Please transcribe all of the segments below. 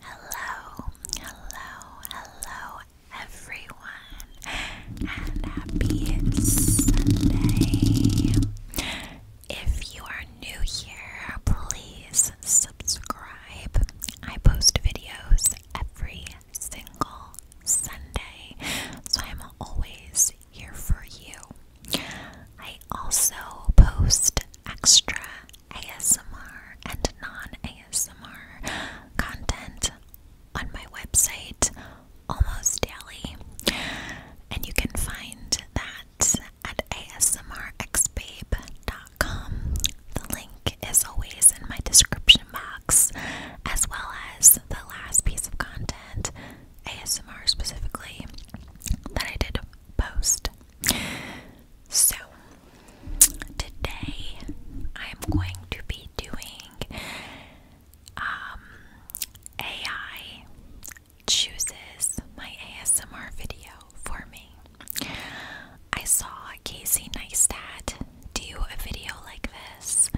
Hello, hello, hello, everyone, and happy Sunday. If you are new here, please subscribe. I post videos every single Sunday, so I'm always here for you. I also post extra ASMR and non-ASMR content on my website almost daily. And you can find that at asmrxbabe.com. The link is always in my description box, as well as the last piece of content, ASMR specifically, that I did post so, today I'm going to be doing um, AI chooses my ASMR video for me. I saw Casey Neistat do a video like this,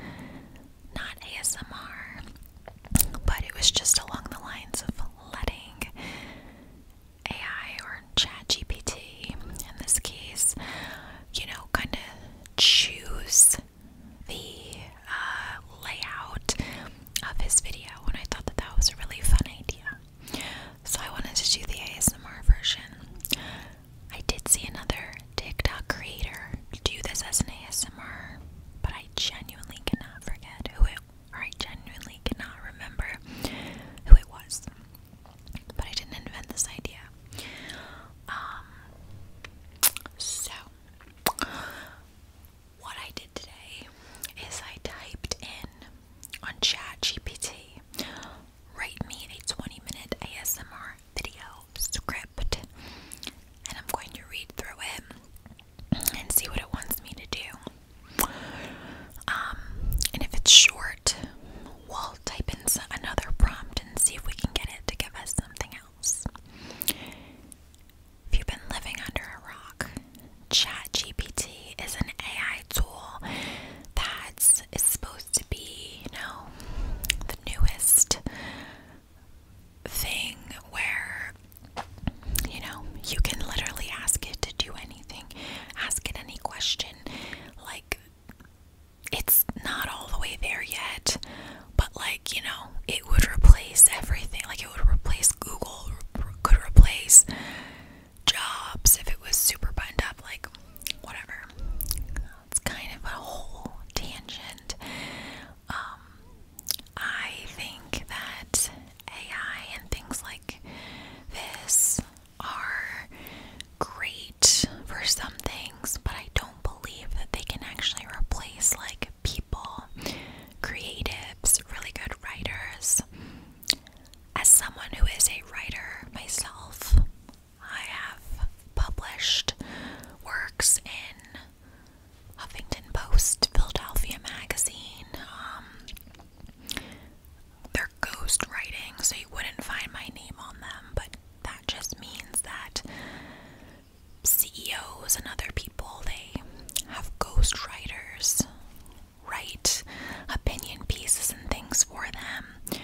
not ASMR, but it was just along the lines of letting AI or ChatGPT in this case, you know, kind of choose the uh, layout of his video, and I thought that that was a really fun idea. So I wanted to do the ASMR version. I did see another TikTok creator do this as an ASMR, but I genuinely cannot forget who it I genuinely cannot remember who it was. But I didn't invent this idea. Um, so, what I did today is I typed in on ChatGPT, write me a 20 minute ASMR video script, and I'm going to read through it and see what it wants me to do. Um, and if it's short, we'll type in another prompt and see if we can get it to give us something else. If you've been living under a rock, ChatGPT is an AI tool that is supposed to be, you know, the newest thing where you know, you can literally ask it to do anything, ask it any question. Like, it's not all the way there yet, but like, you know, it would replace everything. Like, it would replace Google, could replace jobs if it was super buttoned up, like, whatever. It's kind of a whole tangent. Um, I think that AI and things like this are great for some things, but I don't believe that they can actually replace like people, creatives, really good writers. As someone who is a writer myself, I have published works in Huffington Post, Philadelphia Magazine. Um, they're ghost writing, so you wouldn't find my name on them, but that just means that CEOs and other people they have ghost writers write opinion pieces and things for them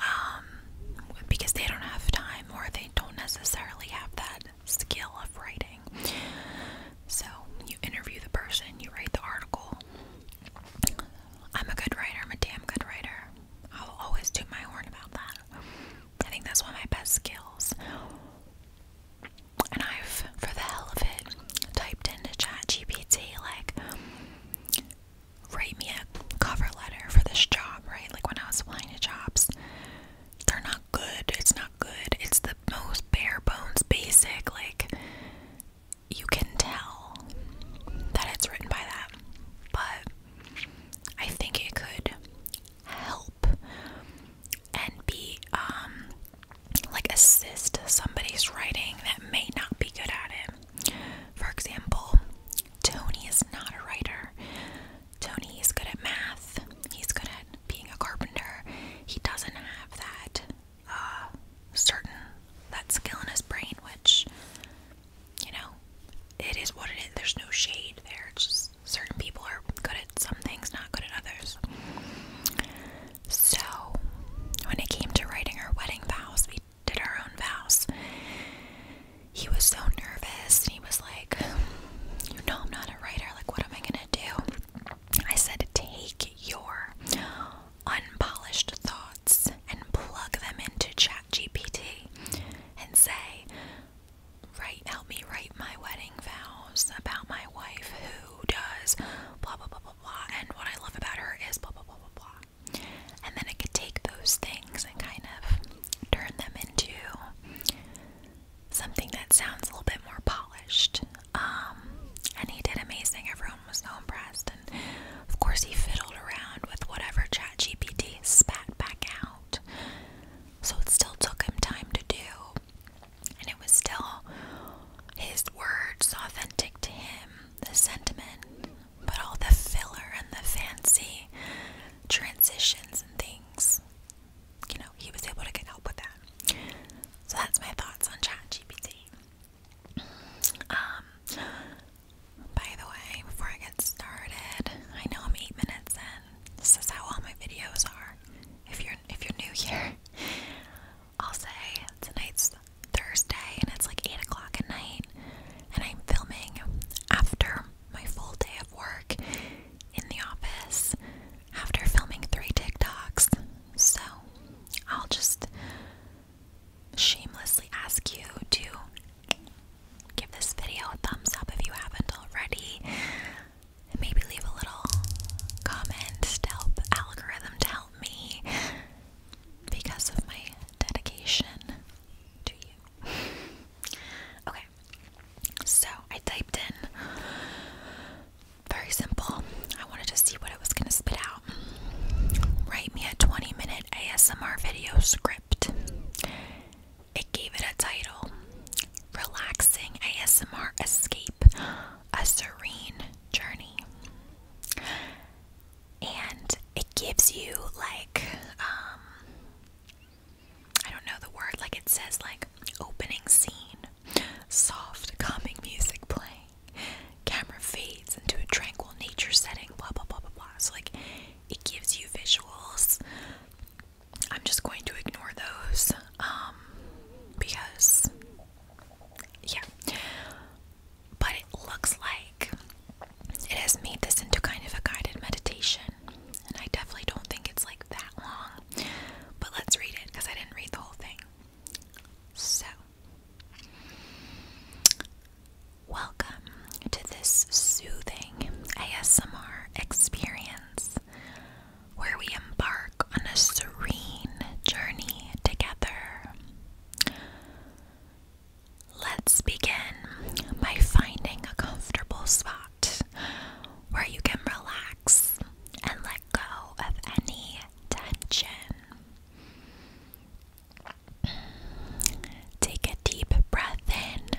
um, because they don't have time or they don't necessarily have that skill of writing. So, you interview the person, you write the article. I'm a good writer, I'm a damn good writer. I'll always do my horn about that. I think that's one of my best skills. And I've, for the hell of it, typed into ChatGPT, like, write me a cover letter for this job, right? Like, when I was applying to jobs, they're not good. It's not good. It's the most bare bones basic. Like, you can tell that it's written by that. But I think it could help and be, um, like, assist somebody's writing that may not be good at it. For example, Tony is not a writer. Tony is good at math. He's good at being a carpenter, he doesn't have that uh, certain that skill in his brain, which you know it is what it is. There's no shade there. It's just certain people are good at some things, not good at others. So when it came to writing our wedding vows, we did our own vows. He was so nervous, and he was like, "You know, I'm not a writer. Like, what am I gonna do?" I said, take your unpolished thoughts and plug them into ChatGPT and say, write, help me write my wedding vows about my wife who does blah, blah, blah, blah, blah. And what I love about her is blah, blah, blah, blah, blah. And then it could take those things and kind of turn them into something that sounds a little bit more polished. Um, and he did amazing. Everyone was so impressed. And of course, he fiddled around with whatever ChatGPT spat back out. So it still took him time to do. And it was still his words authentic to him, the sentiment, but all the filler and the fancy transitions and things you know, he was able to get help with that. So that's my thoughts on ChatGPT. Um, by the way, before I get started, I know I'm eight minutes in. This is how all my videos are. If you're if you're new here, I'll say tonight's Thursday and it's like eight o'clock at night, and I'm filming after my full day of work in the office after filming three TikToks. So I'll just shamelessly ask you to give this video a thumbs up if you haven't already. maybe leave a little comment to algorithm to help me because of my dedication to you. Okay, so I typed in very simple. I wanted to see what it was going to spit out. Write me a 20 minute ASMR video script. It gave it a title Relaxing ASMR Escape, a Serene Journey. And it gives you like, um, I don't know the word, like it says like opening scene, soft, calming music playing, camera fades into a tranquil nature setting, blah blah blah blah blah. So like it gives you visuals. I'm just going to ignore those. Um because yeah. But it looks like it has made this into kind of a guided meditation and I definitely don't think it's like that long. But let's read it because I didn't read the whole thing. So, welcome to this soothing ASMR experience where we embark on a serene journey together. Let's begin by finding a comfortable spot where you can relax and let go of any tension. Take a deep breath in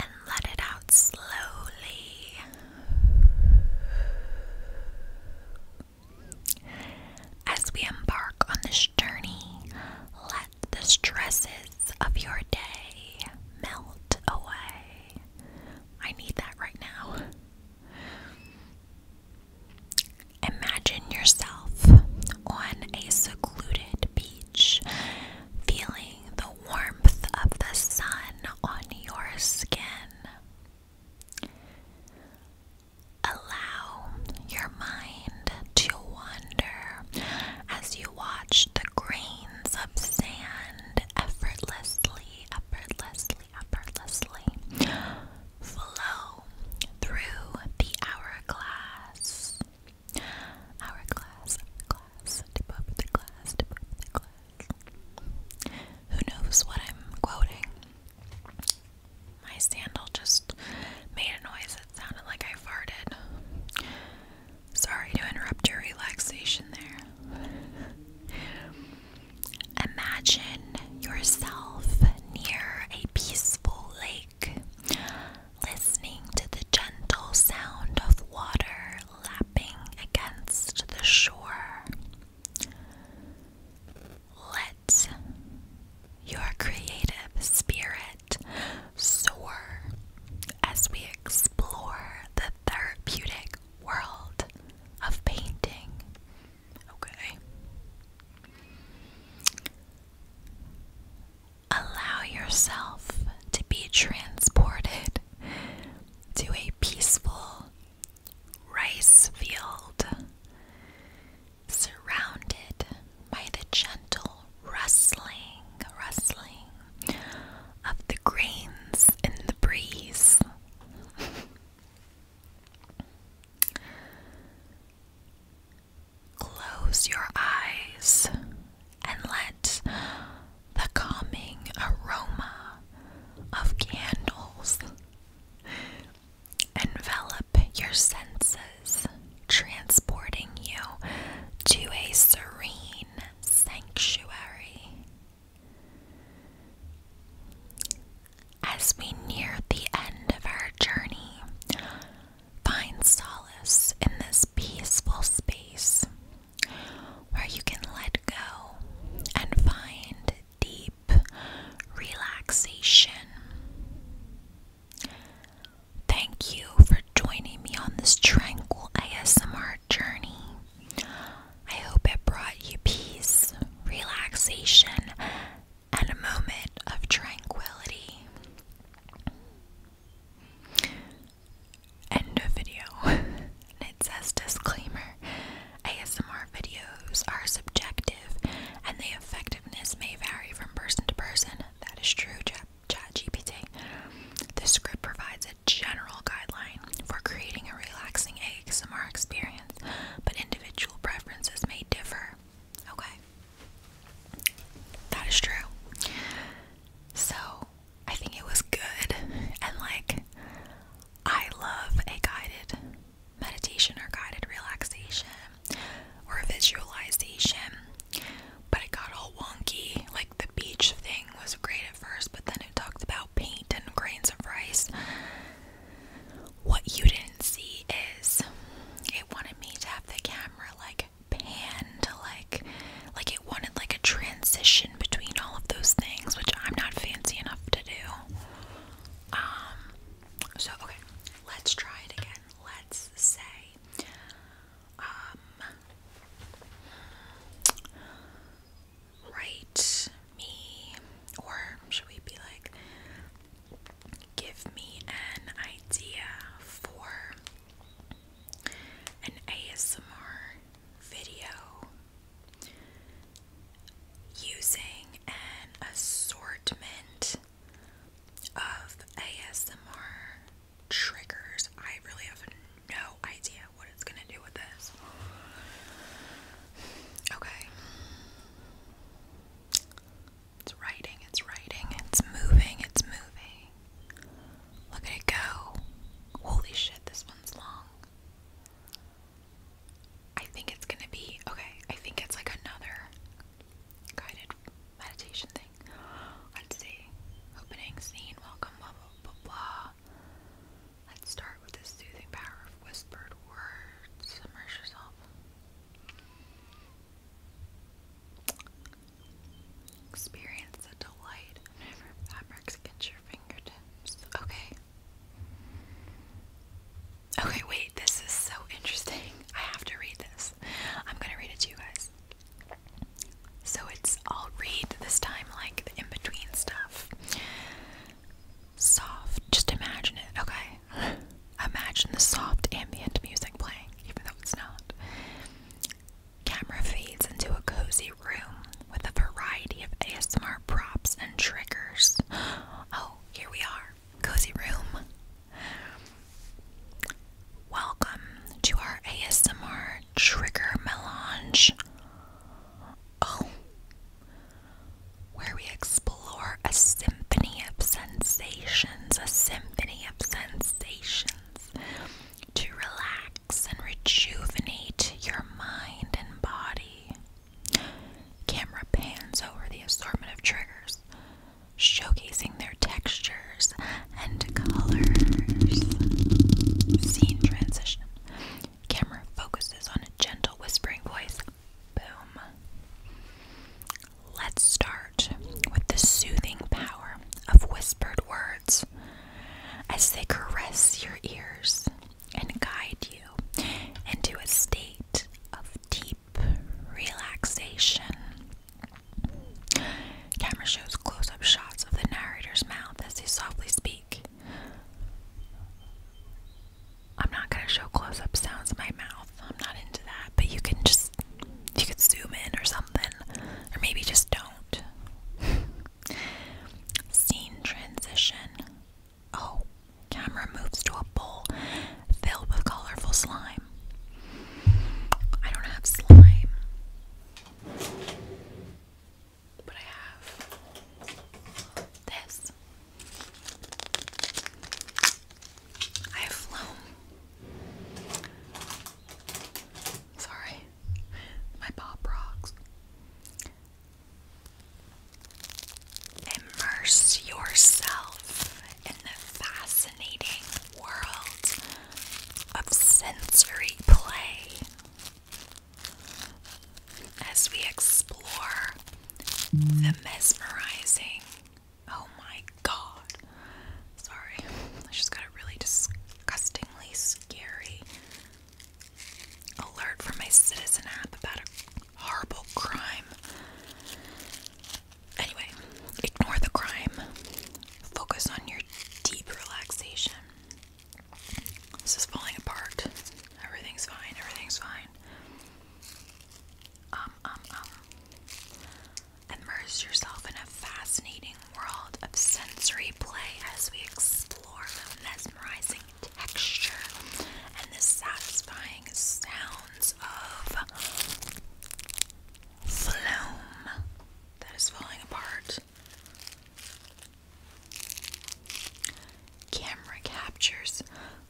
and let it out slowly. As we embark on this journey, let the stresses of your day melt away. I need that right now. Imagine yourself on a secluded beach, feeling the warmth of the sun on your skin. Allow your mind to you wander as you watch the grains of sand effortlessly, effortlessly, effortlessly flow through the hourglass. Hourglass, hourglass, tip over the glass, tip over the glass. Who knows what I'm quoting? My sandal just made a noise that sounded like I farted. Sorry to interrupt your relaxation there. Imagine yourself near a peaceful lake, listening to the gentle sound of water lapping against the shore. Let your creative spirit soar as we explore the therapeutic world of painting. Okay. Allow yourself to be transported to a peaceful rice field surrounded by the gentle rustling, rustling of the grains in the breeze. Close your eyes and let the calming aroma of candles envelop your senses, transporting you to a serene sanctuary. As we near the end of our journey, find solace in this peaceful space where you can let go and find deep relaxation. Thank you for joining me on this tranquil ASMR journey. I hope it brought you peace, relaxation, and a moment of tranquility. End of video. and it says disclaimer ASMR videos are subjective and they affect may vary from person to person. That is true, Chat GPT. This script provides a general guideline for creating a relaxing ASMR experience, but individual preferences may differ. Okay. That is true. So, I think it was good, and like, I love a guided meditation or guided relaxation or visualization, but it got all wonky. Like the beach thing was great at first, but then it talked about paint and grains of rice. What you didn't see is it wanted me to have the camera like pan to like like it wanted like a transition between all of those things which I'm not fancy enough to do. Um so, okay, let's try it again. Let's say, um, write me, or should we be like, give me an idea for an ASMR video using an assortment of ASMR triggers. I really have no idea what it's gonna do with this. Okay. It's writing, it's writing, it's moving, it's moving. Look at it go. Holy shit, this one's long. I think it's gonna be okay. I think it's like another guided meditation thing. Let's see. Opening scene, welcome, blah blah blah blah. Let's start with the soothing power of whispered words. Submerge yourself. Experience the delight of fabrics against your fingertips. Okay. Okay, wait, this is so interesting. I have to read this. I'm gonna read it to you guys. So it's, I'll read this time like the in between stuff. Soft, just imagine it, okay? Imagine the soft ambient music playing, even though it's not. Camera feeds into a cozy room with a variety of ASMR props and triggers. Oh, here we are cozy room. Welcome to our ASMR Trigger Melange. Oh, where we explore a symphony of sensations, a symphony of sensations to relax and rejuvenate your mind and body. Camera pans over the assortment of triggers, showcasing their textures and colors. Scene transition. Camera focuses on a gentle whispering voice. Boom. Let's start with the soothing power of whispered words as they caress your ears and guide you into a state of deep relaxation. Camera shows close up shots of the narrator's mouth as he softly speak. I'm not going to show close up sounds of my mouth. I'm not into that, but you can just you can zoom in or something or maybe just don't. Scene transition Oh, camera moves to a bowl filled with colorful slime. I don't have slime. But I have this. I have flown. Sorry. My pop rocks. Immerse yourself in the fascinating world of sensory play as we explore the mesmerizing. Oh my god. Sorry, I just got a really disgustingly scary alert from my Citizen app about horrible crime. Anyway, ignore the crime. Focus on your deep relaxation. This is falling apart. Everything's fine. Everything's fine. Um, um, um. Immerse yourself in a fascinating world of sensory play as we explore the mesmerizing texture and the satisfying sounds of flume that is falling apart. Camera captures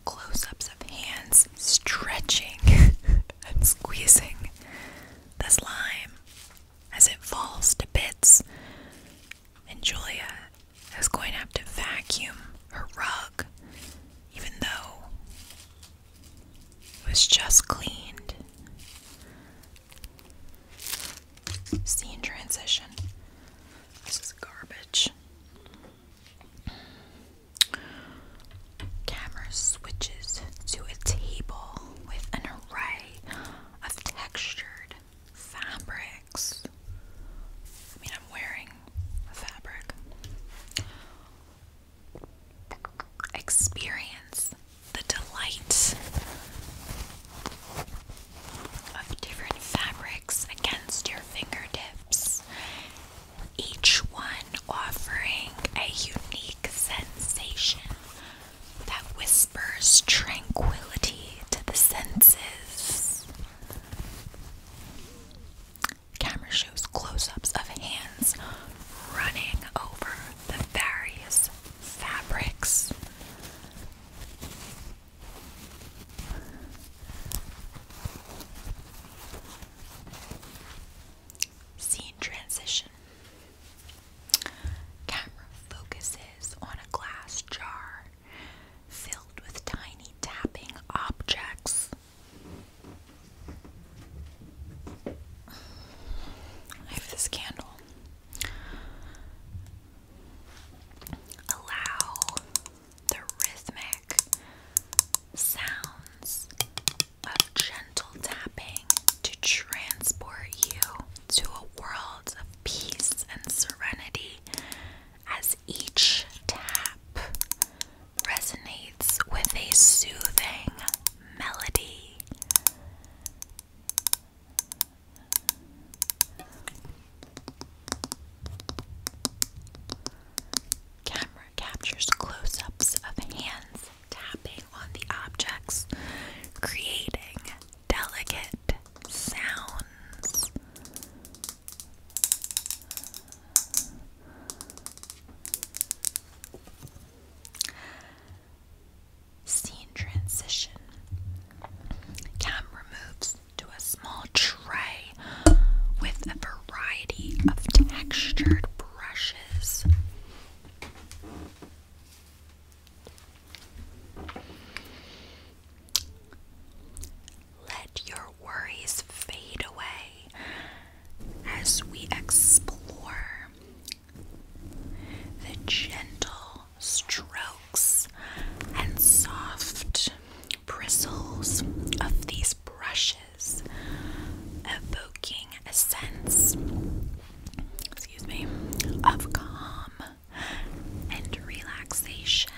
close ups of hands stretching and squeezing the slime as it falls to bits. And Julia I was going to have to vacuum her rug, even though it was just cleaned. Scene transition. This is garbage. Camera switches to a table with an array of textured fabrics. I mean, I'm wearing a fabric. Experience the delight of different fabrics against your fingertips, each one offering a unique sensation that whispers tranquility to the senses. Camera shows close ups of hands running over the various fabrics. Scene transition. Camera focuses on a glass jar filled with tiny tapping objects. I this candle. Allow the rhythmic sounds of gentle tapping to transport you to a world of peace and serenity as each tap resonates with a soothing melody. Camera captures close ups of hands tapping on the objects, creating delicate sounds. Scene transition. Camera moves to a small tray with a variety of textured brushes. Let your worries fade away as we explore the gentle strokes and soft bristles of these brushes, evoking a sense excuse me of calm and relaxation.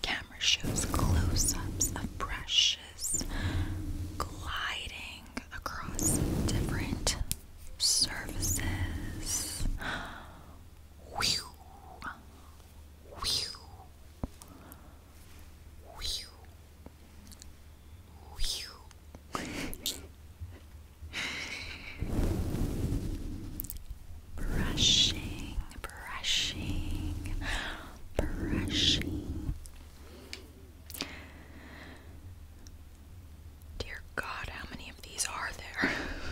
Camera shows close ups of brushes gliding across different surfaces. Whew. Whew. Whew brushing, brushing, brushing. Dear God, how many of these are there?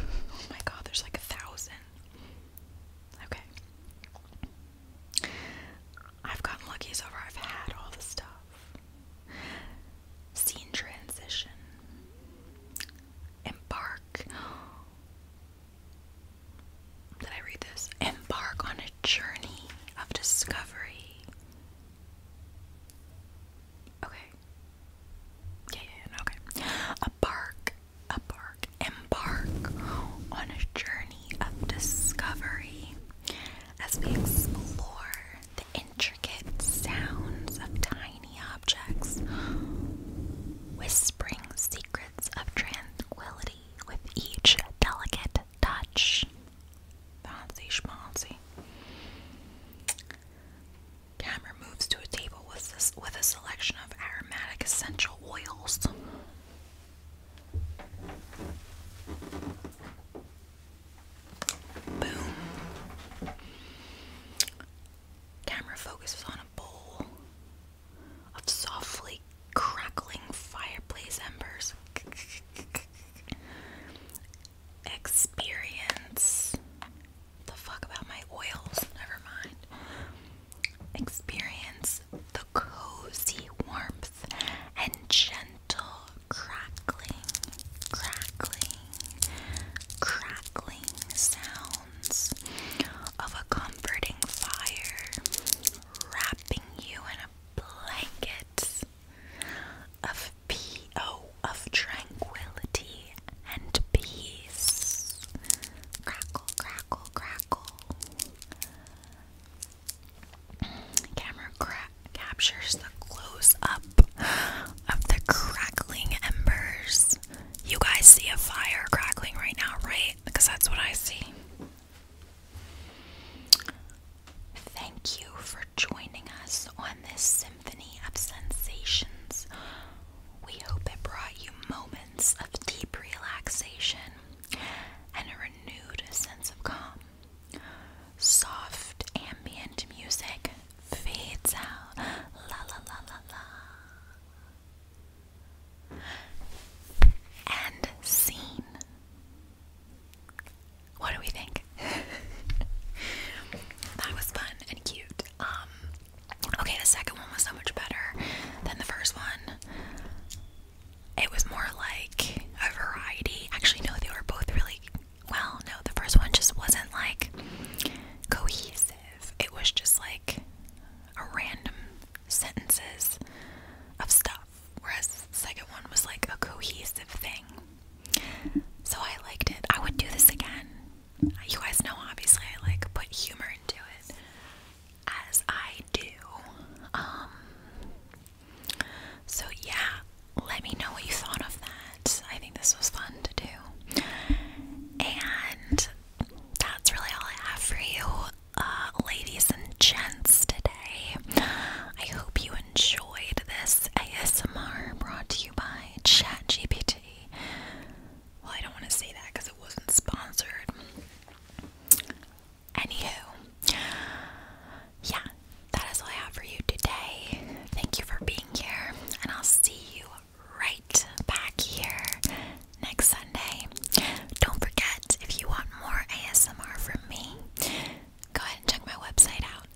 oh my God, there's like a thousand. Okay. I've gotten lucky so far. I've had all the stuff. Scene transition. Embark. Did I read this? Embark on a journey of discovery. Okay. yeah okay. A bark, a bark, embark on a journey of discovery as we explore the intricate sounds of tiny objects, whispering secrets of tranquility with each delicate touch. Fancy schmancy. Camera moves to a table with, with a selection of aromatic essential oils. Boom. Camera focuses on a bowl of softly crackling fireplace embers. Experience. The fuck about my oils? Never mind. Experience the cozy warmth and gentle crackling, crackling, crackling sounds of a comforting fire wrapping you in a blanket of P O of tranquility and peace. Crackle, crackle, crackle. Camera captures the close up of the crackling embers. You guys see a fire crackling right now, right? Because that's what I see. Thank you for joining us on this symphony of sensations. We hope it brought you moments of deep relaxation and a renewed sense of calm. Soft ambient music fades out. La la la la la. And scene. What do we think? that was fun and cute. Um okay, the second one was so much better than the first one it was more like a variety. Actually, no, they were both really well. No, the first one just wasn't like cohesive, it was just like a random sentences of stuff, whereas the second one was like a cohesive thing. So I liked it. I would do this again. You guys know, obviously, I like put humor into it as I do. Um, so yeah, let me know what you thought of that. I think this was fun to do. And that's really all I have for you, uh, ladies and gents, today. I hope you enjoyed this ASMR brought to you by ChatGPT. Well, I don't want to say that because it wasn't sponsored. Anywho, yeah, that is all I have for you today. Thank you for being here, and I'll see you right back here next Sunday. Don't forget, if you want more ASMR from me, go ahead and check my website out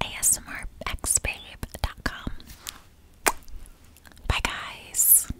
asmrxbabe.com. Bye, guys.